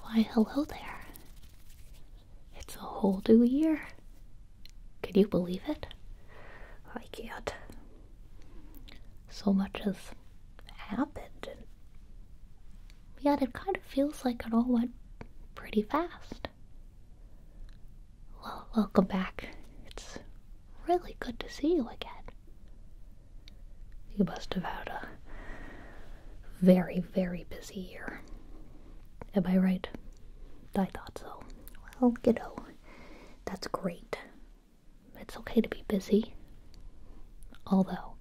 Why, hello there. It's a whole new year. Can you believe it? I can't. So much has happened, and yet it kind of feels like it all went pretty fast. Well, welcome back. It's really good to see you again. You must have had a very, very busy year. Am I right? I thought so. Well, you know, that's great. It's okay to be busy. Although,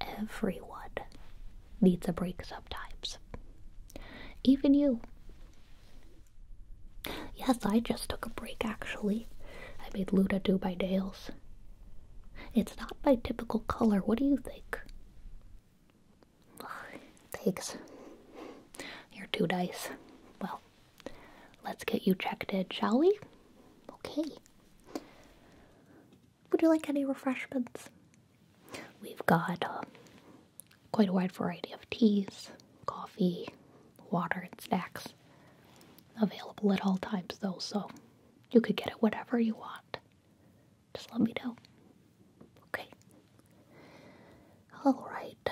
everyone needs a break sometimes. Even you. Yes, I just took a break actually. I made Luda do my nails. It's not my typical color. What do you think? Thanks. You're two dice. Well, let's get you checked in, shall we? Okay. Would you like any refreshments? We've got uh, quite a wide variety of teas, coffee, water, and snacks available at all times, though, so you could get it whatever you want. Just let me know. Okay. All right.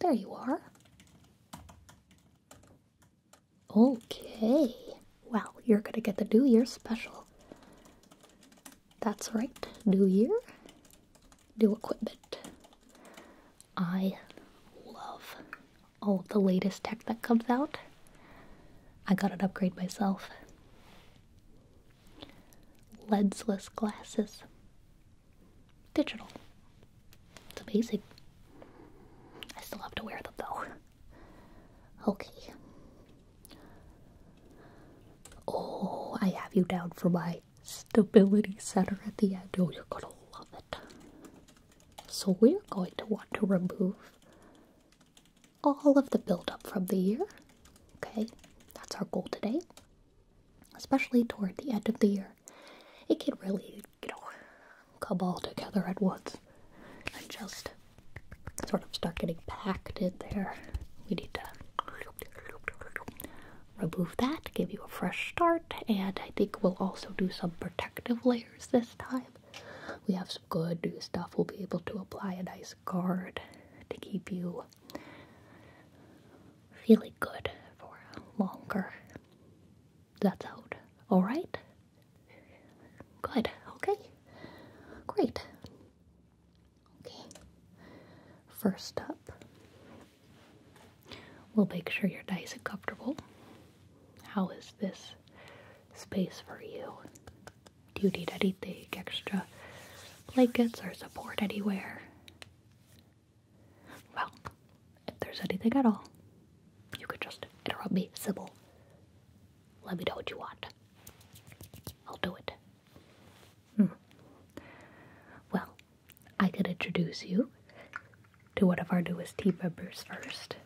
There you are. Okay. Well, you're going to get the New Year special. That's right. New Year, new equipment. I love all of the latest tech that comes out. I got it upgraded myself. Lensless glasses. Digital. It's amazing. I still have to wear them though. Okay. Oh, I have you down for my stability center at the end. Oh, you're gonna love it. So we're going to want to remove all of the buildup from the year. Okay, that's our goal today. Especially toward the end of the year. It can really, you know, come all together at once and just sort of start getting packed in there. We need to remove that, give you a fresh start, and I think we'll also do some protective layers this time. We have some good new stuff. We'll be able to apply a nice guard to keep you feeling good for longer. That's out. Alright? Good. Okay. Great. Okay. First up, We'll make sure you're nice and comfortable. How is this space for you? Do you need anything extra? Blankets or support anywhere? Well, if there's anything at all, you could just interrupt me, Sybil. Let me know what you want. I'll do it. Hmm. Well, I could introduce you to one of our newest tea members first.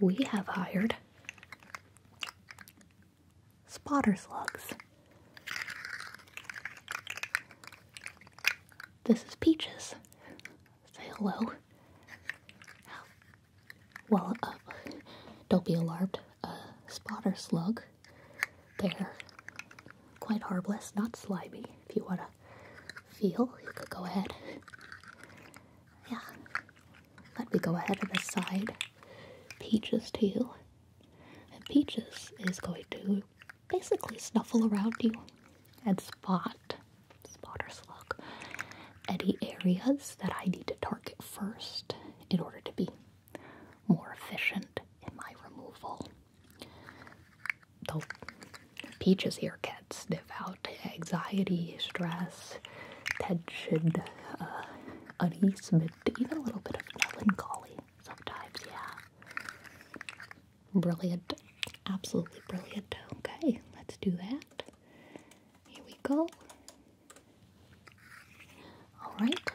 We have hired spotter slugs. This is Peaches. Say hello. Well, uh, don't be alarmed. Uh, spotter slug. They're quite harmless, not slimy. If you want to feel, you could go ahead. Yeah. Let me go ahead and side. Peaches too. And Peaches is going to basically snuffle around you and spot, spot look any areas that I need to target first in order to be more efficient in my removal the peaches here can sniff out anxiety, stress, tension, uh, uneasement, even a little bit of melancholy sometimes, yeah. Brilliant. Absolutely brilliant. Okay, let's do that. Here we go. Alright,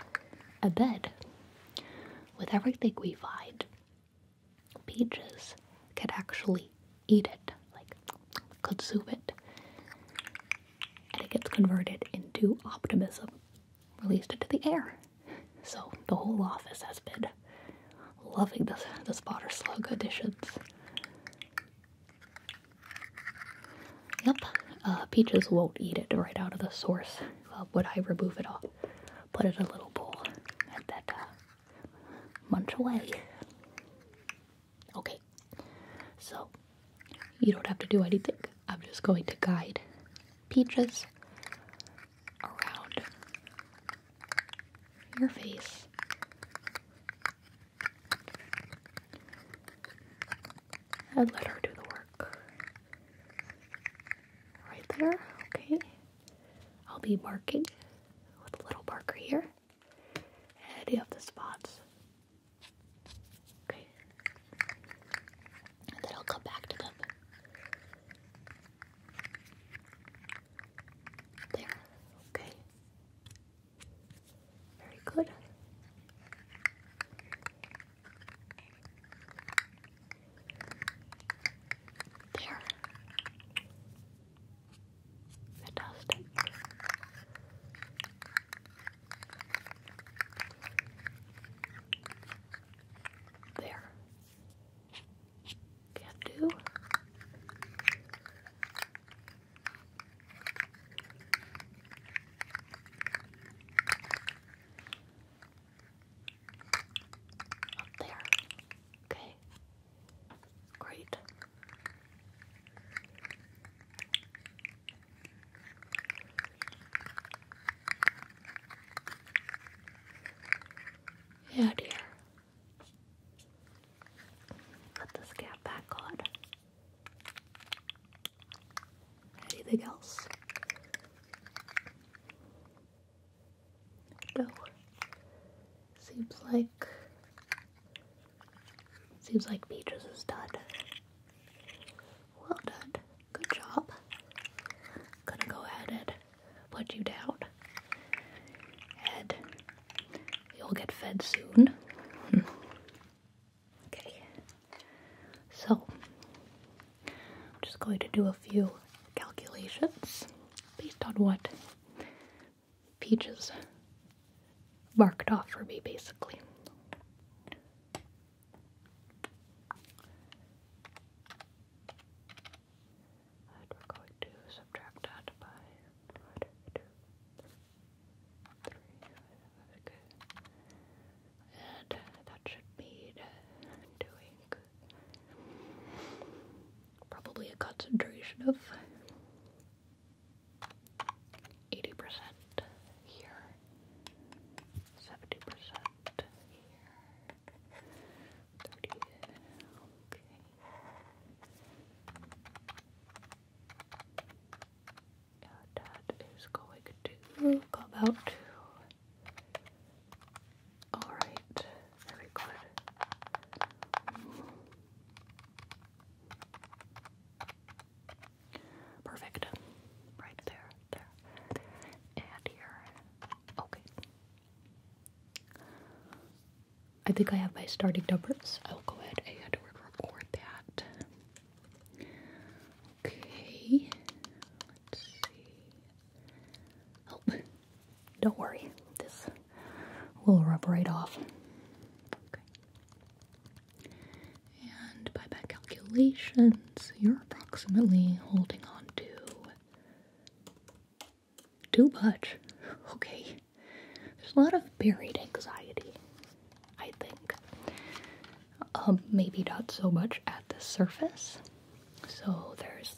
a bed with everything we find, Peaches could actually eat it, like consume it. And it gets converted into optimism, released into the air. So the whole office has been loving this the spotter slug additions. Yep, uh, peaches won't eat it right out of the source. Uh, would I remove it all? Put it in a little bowl and then uh, munch away. Okay, so you don't have to do anything. I'm just going to guide peaches around your face. And let her do the work. Right there, okay. I'll be marking with a little marker here any of the spots. Okay. And then I'll come back to them. There. Okay. Very good. There. Fantastic. There. Can't do. Up there. Okay. Great. Yeah, dear. Put this cap back on. Anything else? go. Seems like seems like Beatrice is done. Well done. Good job. Gonna go ahead and put you down. And you'll get fed soon. okay. So I'm just going to do a few calculations based on what Peaches marked off for me, basically. And we're going to subtract that by one, two, three, okay. And that should mean doing probably a concentration of 80% here, 70% here, that is going to come out Alright, very good. Perfect. Right there, there, and here. Okay. I think I have my starting numbers. I'll go ahead and record that. Okay. Let's see. Oh, don't worry, this will rub right off. And by calculations, you're approximately holding on to too much. Okay. There's a lot of buried anxiety, I think. Um, maybe not so much at the surface. So there's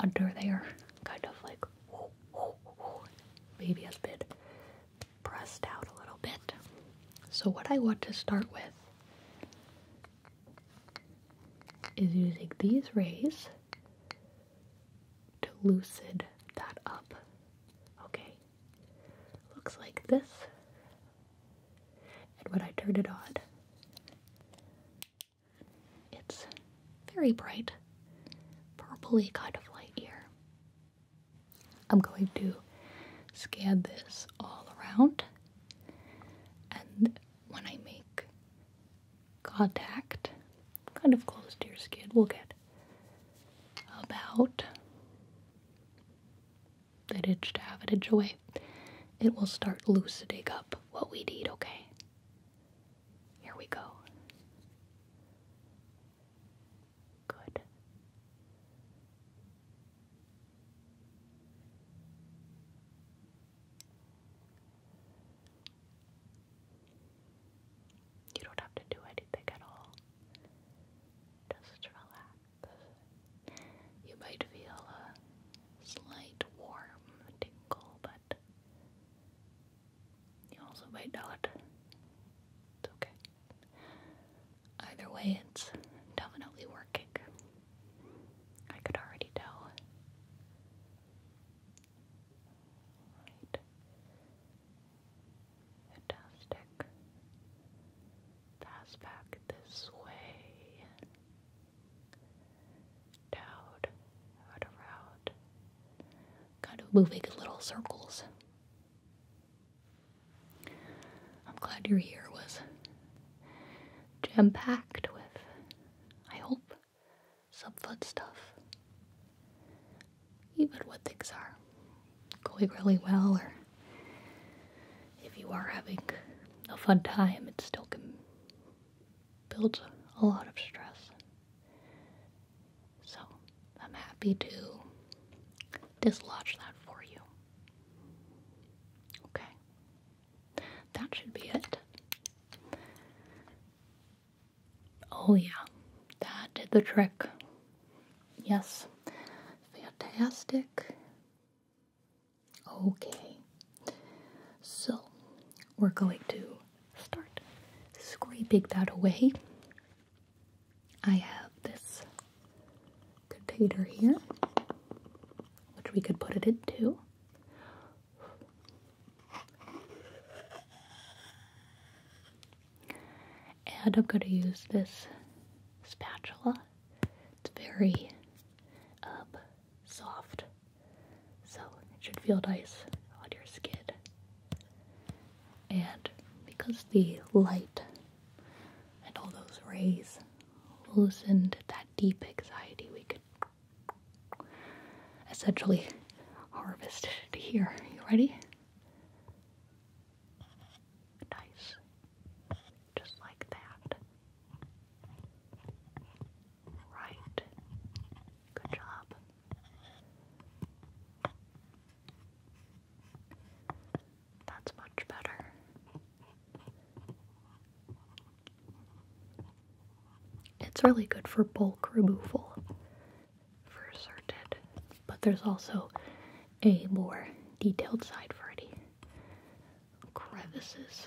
under there, kind of like maybe a bit pressed out a little bit. So what I want to start with is using these rays to loosen that up. Okay, looks like this. And when I turn it on, it's very bright, purpley kind of light here. I'm going to scan this all around, and when I make contact, kind of close to your skin, we'll get about an inch to have it inch away. It will start loosening up what we need, okay? Here we go. Good. You don't have to do anything at all. Just relax. You might feel a slight warm tingle, but you also made not. It's okay. Either way, it's definitely working. I could already tell. Right. Fantastic. Pass back this way. Down, out, around. Kind of moving little circles. I'm glad your year was jam packed with, I hope, some fun stuff. Even when things are going really well, or if you are having a fun time, it still can builds a lot of stress. So I'm happy to dislodge that for you. Okay. That should be it. Oh, yeah. That did the trick. Yes. Fantastic. Okay. So, we're going to start scraping that away. I have this container here, which we could put it into. And I'm going to use this spatula. It's very um, soft. So it should feel nice on your skin. And because the light and all those rays loosened that deep anxiety, we could essentially harvest it here. You ready? Nice. Just like that. Right Good job. That's much better. It's really good for bulk removal for certain, but there's also a more detailed side for any crevices.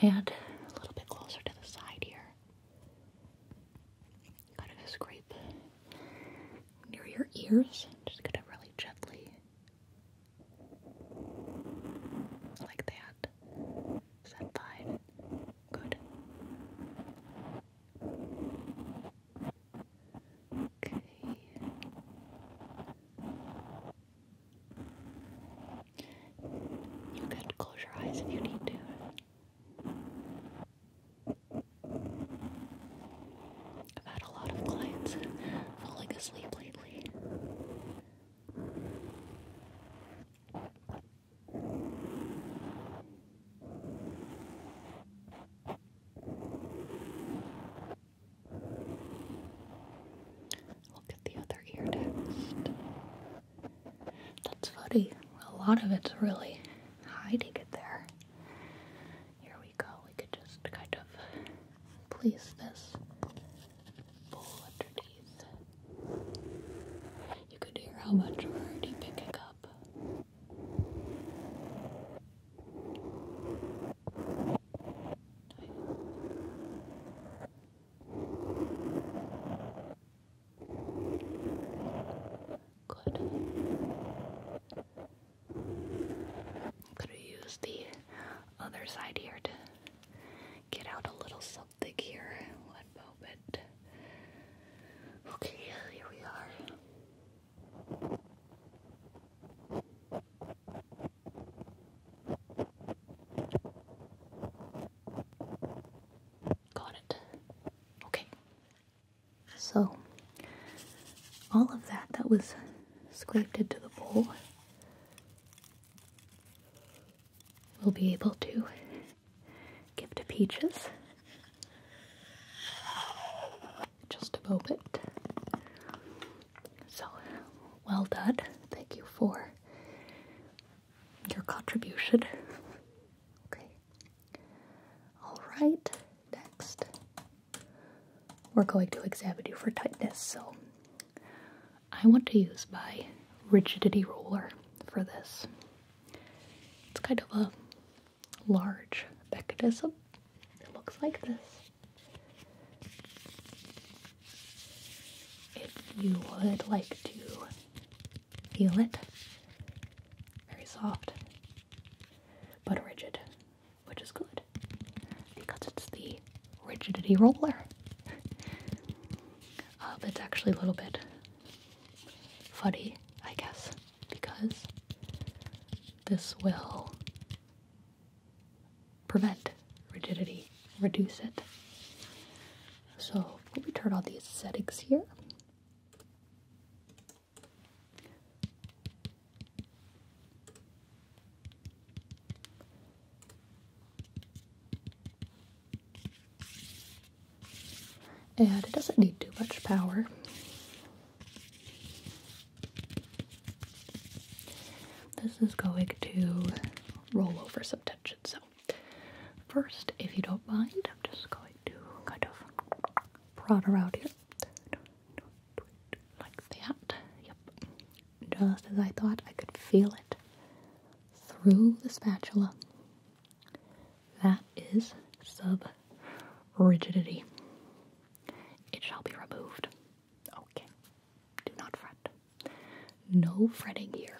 and a little bit closer to the side here. Kind of scrape near your ears. Just kind of really gently, like that fine? Good. Okay. You could close your eyes if you need to. I've had a lot of clients falling asleep lately. Look at the other ear next. That's funny. A lot of it's really hiding it there. Here we go. We could just kind of place this bowl underneath. You can hear how much we're already picking up. Good. Could we use the other side here to get out a little something here? One moment. Okay, here we are. Got it. Okay. So, all of that that was scraped into the bowl we'll be able to give to Peaches. Just a bit. So, well done. Thank you for your contribution. Okay. Alright, next we're going to examine you for tightness. So, I want to use my rigidity ruler for this. It's kind of a large mechanism. It looks like this. If you would like to feel it, very soft but rigid, which is good because it's the rigidity roller. but um, it's actually a little bit funny, I guess, because this will prevent rigidity, reduce it. So we'll return all these settings here. And it doesn't need too much power. This is going to roll over some tension. So, first, if you don't mind, I'm just going to kind of prod around here. Like that. Yep. Just as I thought, I could feel it through the spatula. That is sub rigidity. It shall be removed. Okay, do not fret. No fretting here.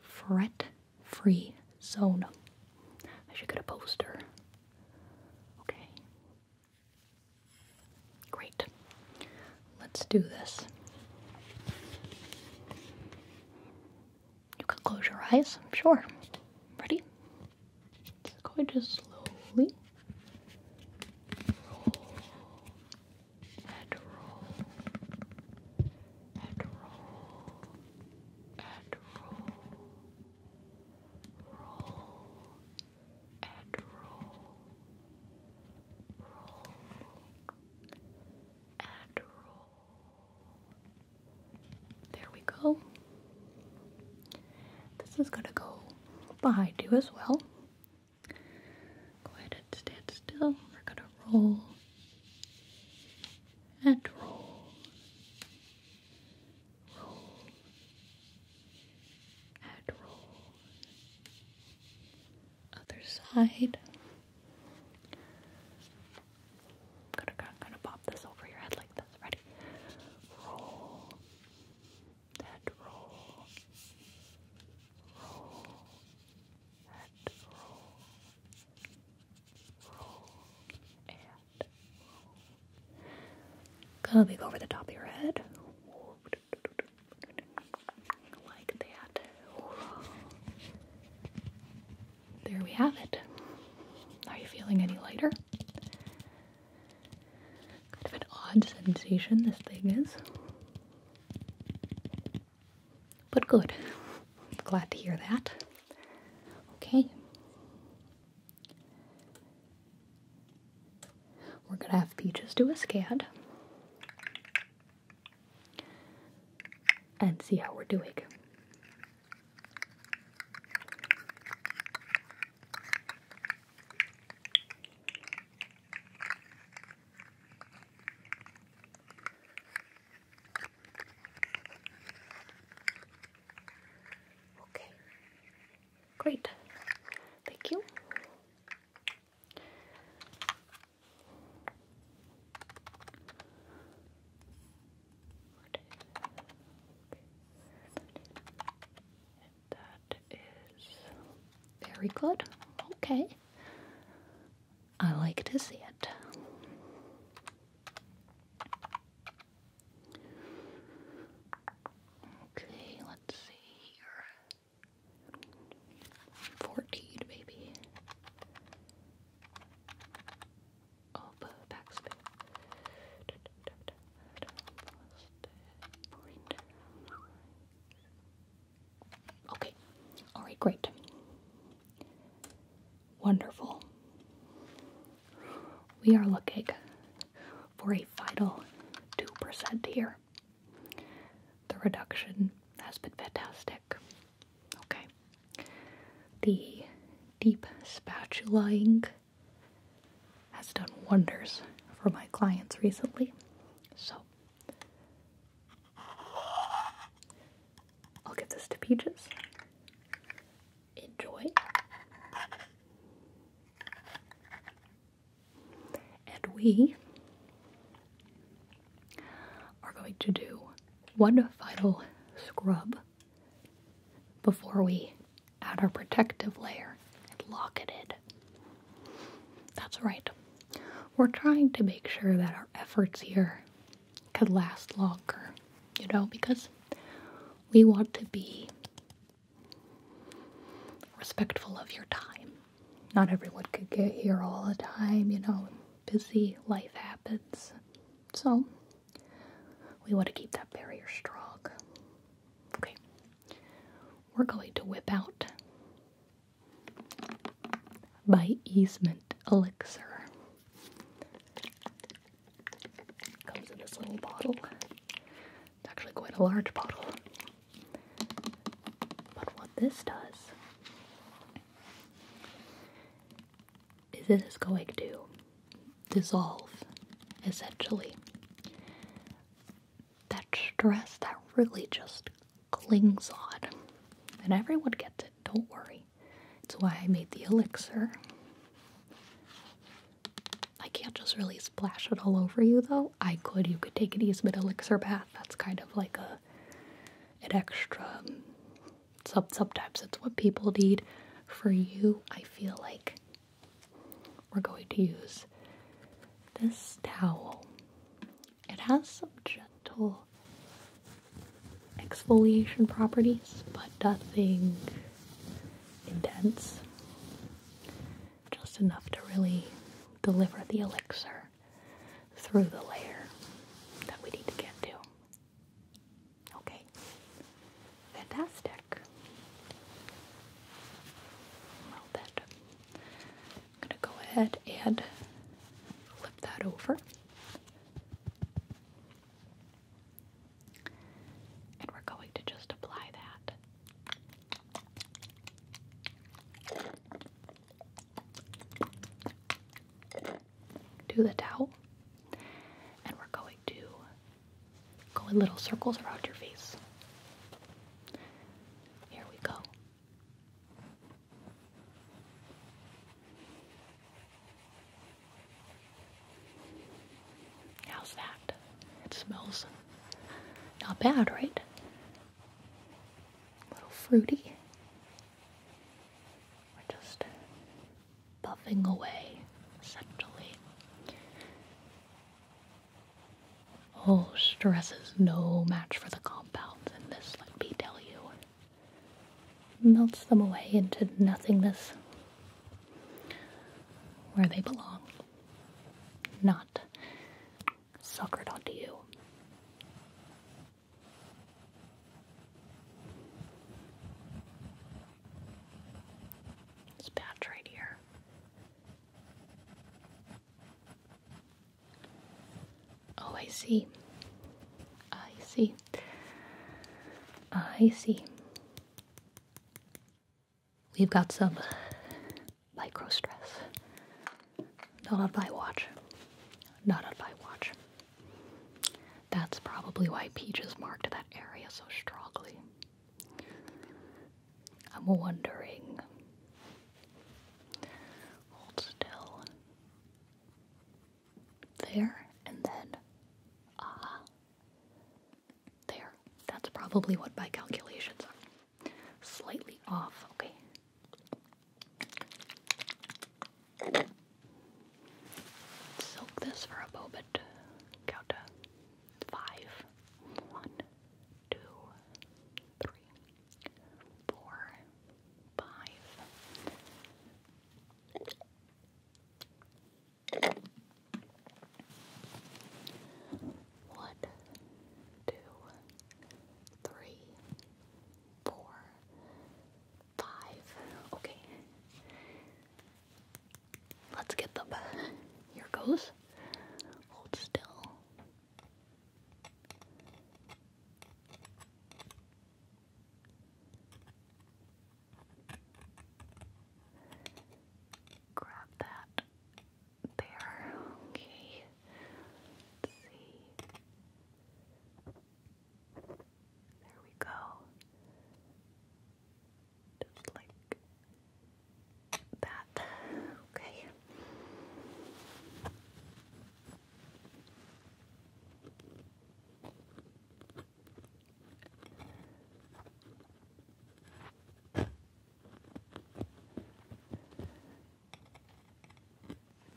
Fret free zone. I should get a poster. Okay. Great. Let's do this. You can close your eyes, I'm sure. Ready? It's going to slowly and roll, and roll, and roll, roll, and roll, roll, and roll. There we go. This is gonna go behind you as well. Go ahead and stand still. We're gonna roll and roll, roll and roll. Other side. I'm gonna, gonna pop this over your head like this. Ready? Roll and roll, roll and roll, roll and roll. Coming over the top of your head. Like that. There we have it. Are you feeling any lighter? Kind of an odd sensation this thing is. But good. Glad to hear that. Okay. We're going to have Peaches do a SCAD and see how we're doing. Okay. Great. Thank you. That is very good. Okay. I like to see it. Okay, let's see here. 14, baby. Okay. All right, great. Wonderful. We are looking for a vital 2% here. The reduction has been fantastic. Okay. The deep spatulaing has done wonders for my clients recently. So I'll give this to Peaches. Enjoy. And we are going to do one final scrub before we add our protective layer and lock it in. That's right. We're trying to make sure that our efforts here could last longer, you know, because we want to be respectful of your time. Not everyone could get here all the time, you know, busy life happens. So, we want to keep that barrier strong. Okay. We're going to whip out by Easement Elixir. Comes in this little bottle. It's actually quite a large bottle. But what this does is it is going to dissolve essentially that stress that really just clings on. And everyone gets it, don't worry. It's why I made the elixir. I can't just really splash it all over you though. I could, you could take an easement elixir bath. That's kind of like a an extra um, sub sometimes it's what people need. For you, I feel like we're going to use this towel. It has some gentle exfoliation properties, but nothing intense. Just enough to really deliver the elixir through the layer that we need to get to. Okay, fantastic. Well, that I'm going to go ahead and flip that over. And we're going to just apply that. Do the towel, and we're going to go in little circles around your face. Here we go. How's that? It smells not bad, right? A little fruity. We're just buffing away, essentially. Oh, stress is no match for the compounds in this, let me tell you. Melts them away into nothingness where they belong, not suckered onto you. This patch right here. Oh, I see. I see. I see. We've got some micro stress. Not on my watch. Not on my watch. That's probably why Peaches marked that area so strongly. I'm wondering. Hold still. There, and then, ah, there. That's probably what my calculations are. Slightly off, okay. Soak this for a moment. Count to five. One, two, three four, five. Okay. Let's get them. Here goes. Hold still. Grab that there. Okay. see. There we go. Just like that. Okay.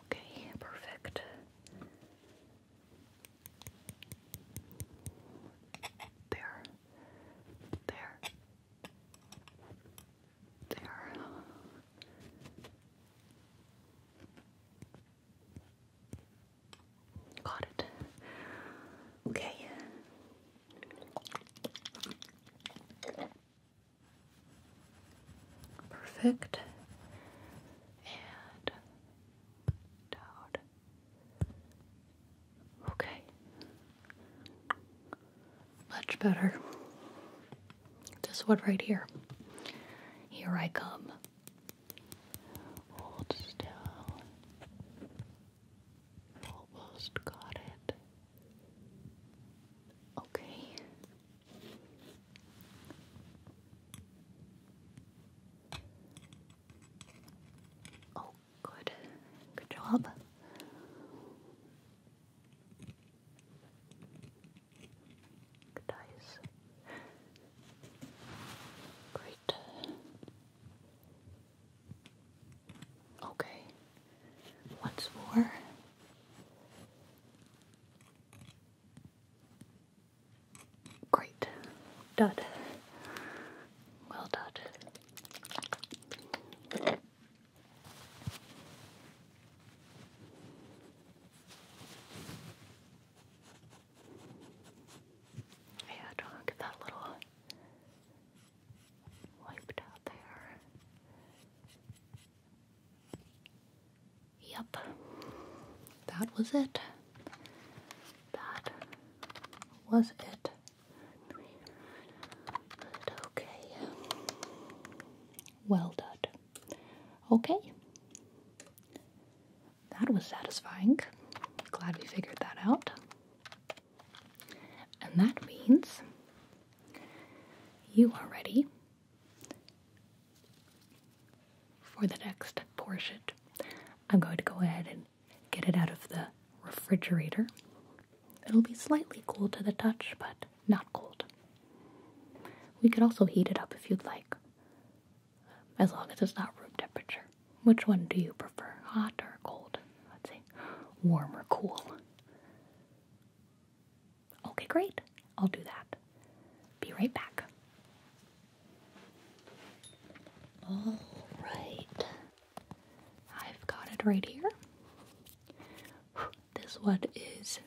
Okay, perfect. There, there, there Got it. Okay. Perfect. And down. Okay. Much better. This one right here. Here I come. still. Almost got it. Okay. Oh, good. Good job. Good Great. Okay. What's more? Great. Done. Well done. Yeah, don't get that little wiped out there. Yep, that was it. That was it. But okay. Well done. Okay. That was satisfying. Glad we figured that out. And that means you are ready for the next portion. I'm going to go ahead and get it out of the refrigerator. It'll be slightly cool to the touch, but not cold. We could also heat it up if you'd like, as long as it's not room temperature. Which one do you prefer, hot or cold? Let's see, warm or cool? Okay, great. I'll do that. Be right back. All right. I've got it right here. This one is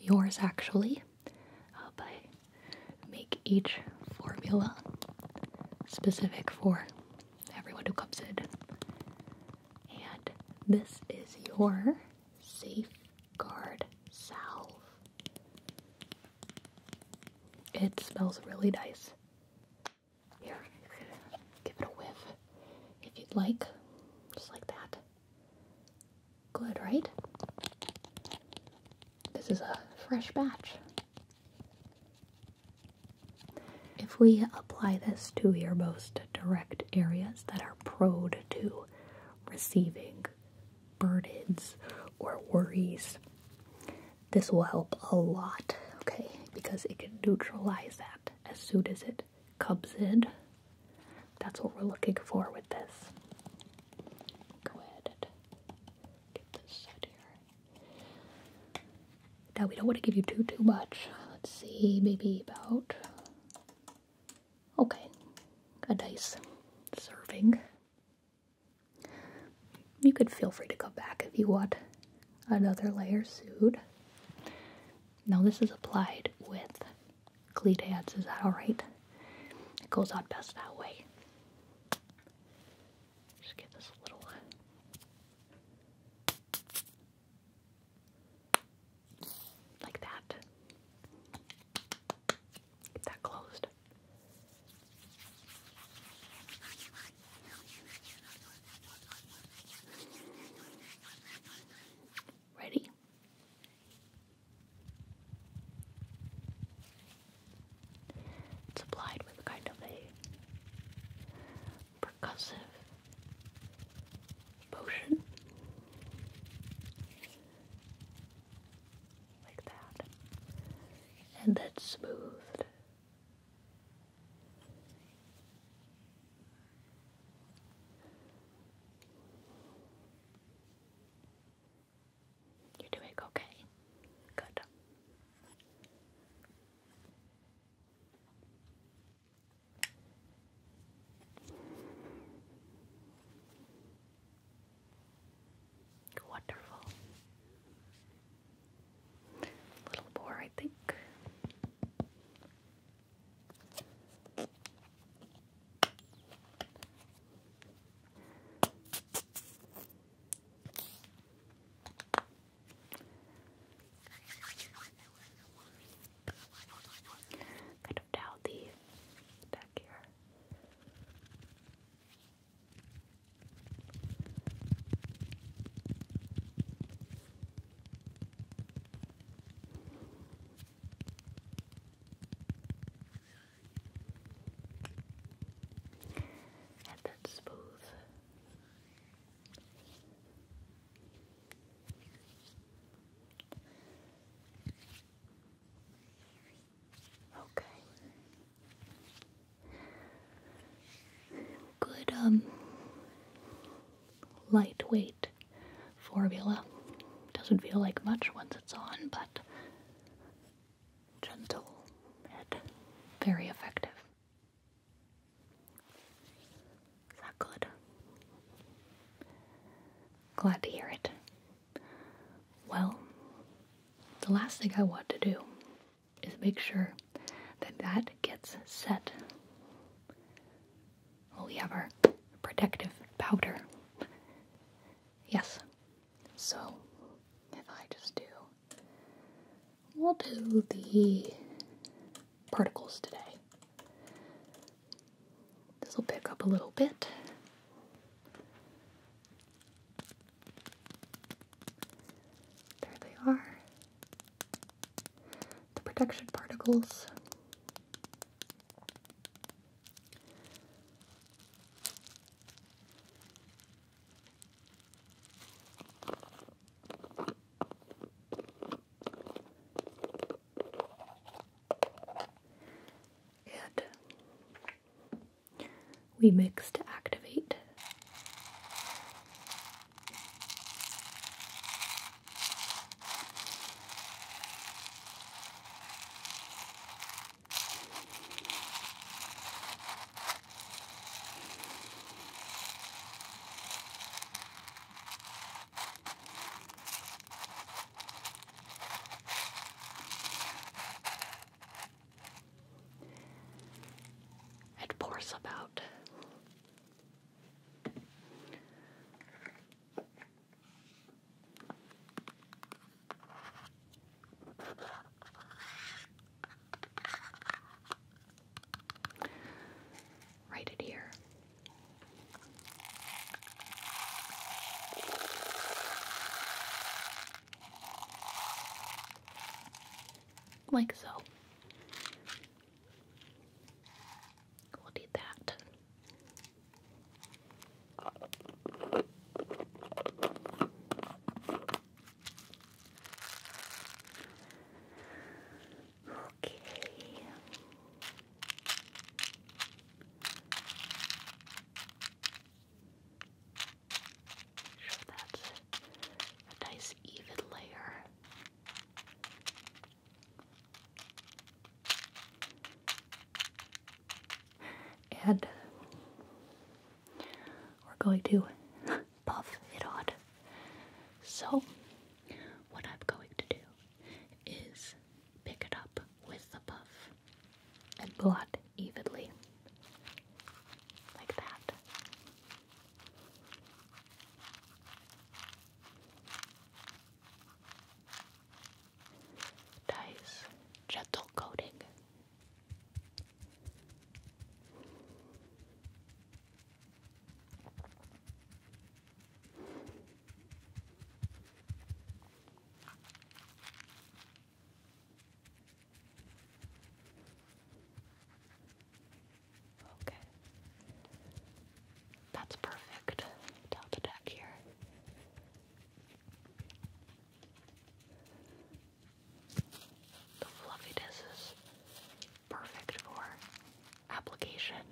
yours actually, uh, but I make each formula specific for everyone who comes in. And this is your safeguard salve. It smells really nice. Here, give it a whiff if you'd like, just like that. Good, right? This is a fresh batch. If we apply this to your most direct areas that are prone to receiving burdens or worries, this will help a lot, okay? Because it can neutralize that as soon as it it cubsid. That's what we're looking for with this. Go ahead get this set here. Now we don't want to give you too too much. Let's see, maybe about okay, a nice serving. You could feel free to go back if you want another layer sued. Now this is applied with Cleat is that alright? It goes out best that way. Just get this little like that. Get that closed. Ready? It's applied with kind of a percussive motion like that, and then smoothed you're doing okay? Good. Wonderful. Little more, I think. Kind of down the deck here. And smooth. Okay. Good, um, lightweight great formula. Doesn't feel like much once it's on, but gentle and very effective. Is that good? Glad to hear it. Well, the last thing I want to do is make sure that that gets set well, oh, we have our protective powder. Yes. So, if I just do, we'll do the particles today. This will pick up a little bit. There they are. The protection particles. And we mix to activate. It pours about Write it here. Like so. We'll do that. Okay. Sure, that's a nice even layer. And we're going to puff it out. So, what I'm going to do is pick it up with the puff and blot evenly, like that. Dice gentle coating. Okay. That's perfect. Top attack here. The fluffiness is perfect for application.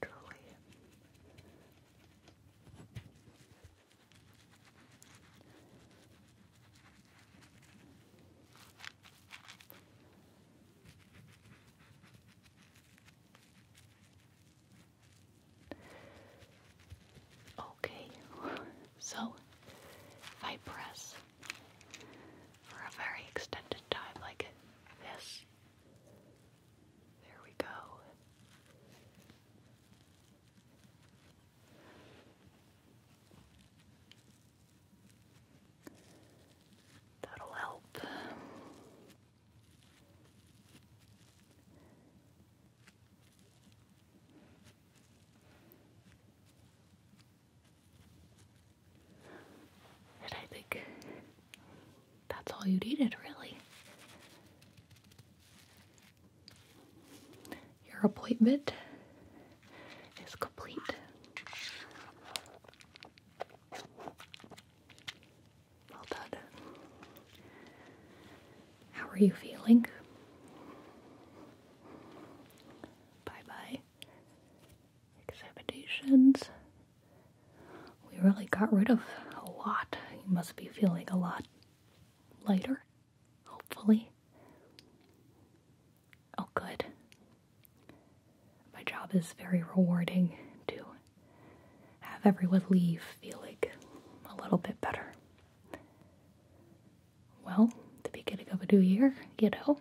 Truly. Okay, so if I press for a very extended time like this, there we go. That'll help. And I think that's all you needed, really. Your appointment is complete. Well done. How are you feeling? Bye bye. Examinations. We really got rid of a lot. You must be feeling a lot lighter, hopefully. Oh, good. My job is very rewarding to have everyone leave feeling a little bit better. Well, the beginning of a new year, you know,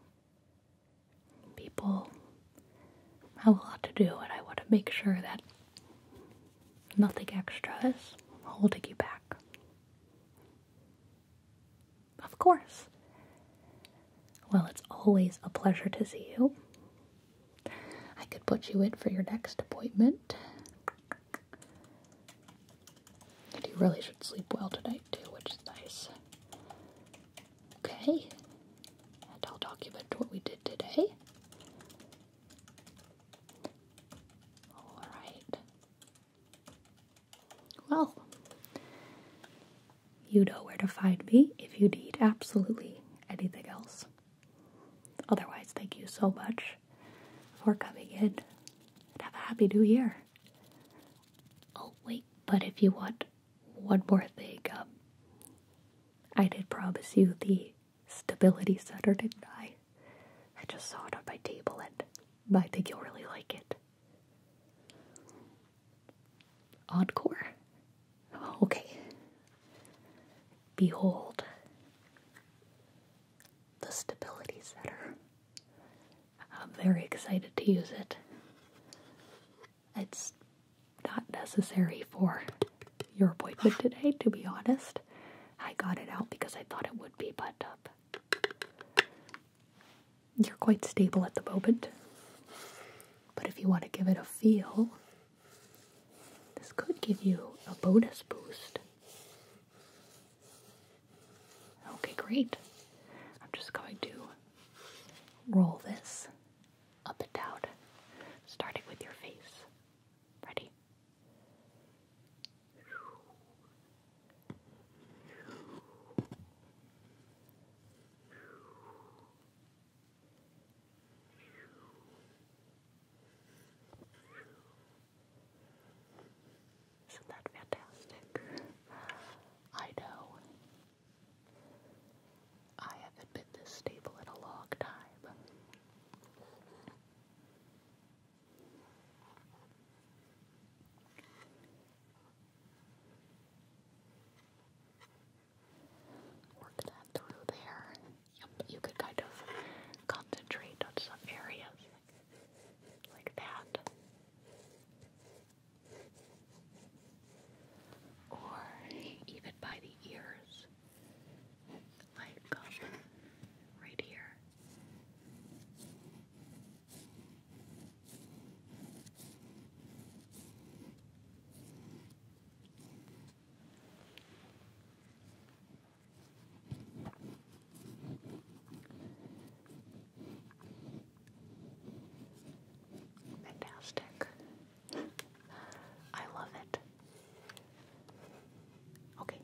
people have a lot to do, and I want to make sure that nothing extra is holding you back. Of course. Well, it's always a pleasure to see you. I could put you in for your next appointment. And you really should sleep well tonight, too, which is nice. Okay. And I'll document what we did today. Alright. Well, you know where to find me if you need absolutely anything else. Otherwise, thank you so much for coming in and have a happy new year. Oh, wait, but if you want one more thing, um, I did promise you the stability center, didn't I? I just saw it on my table and I think you'll really like it. Oddcore. Oh, okay. Behold the stability setter. I'm very excited to use it. It's not necessary for your appointment today, to be honest. I got it out because I thought it would be, but up you're quite stable at the moment. But if you want to give it a feel, this could give you a bonus boost. Okay, great. I'm just going to roll this up and down, starting with your face. Ready? Isn't that fantastic? I know. I haven't been this stable in a long time. Work that through there. Yep, you could kind of concentrate on some areas like that. Or even by the ears, like um, right here. Fantastic. I love it. Okay.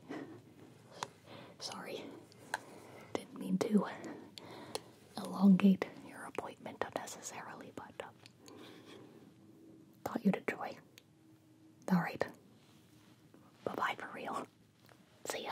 Sorry. Didn't mean to elongate your appointment unnecessarily, but um, thought you'd enjoy. All right. Bye bye for real. See ya.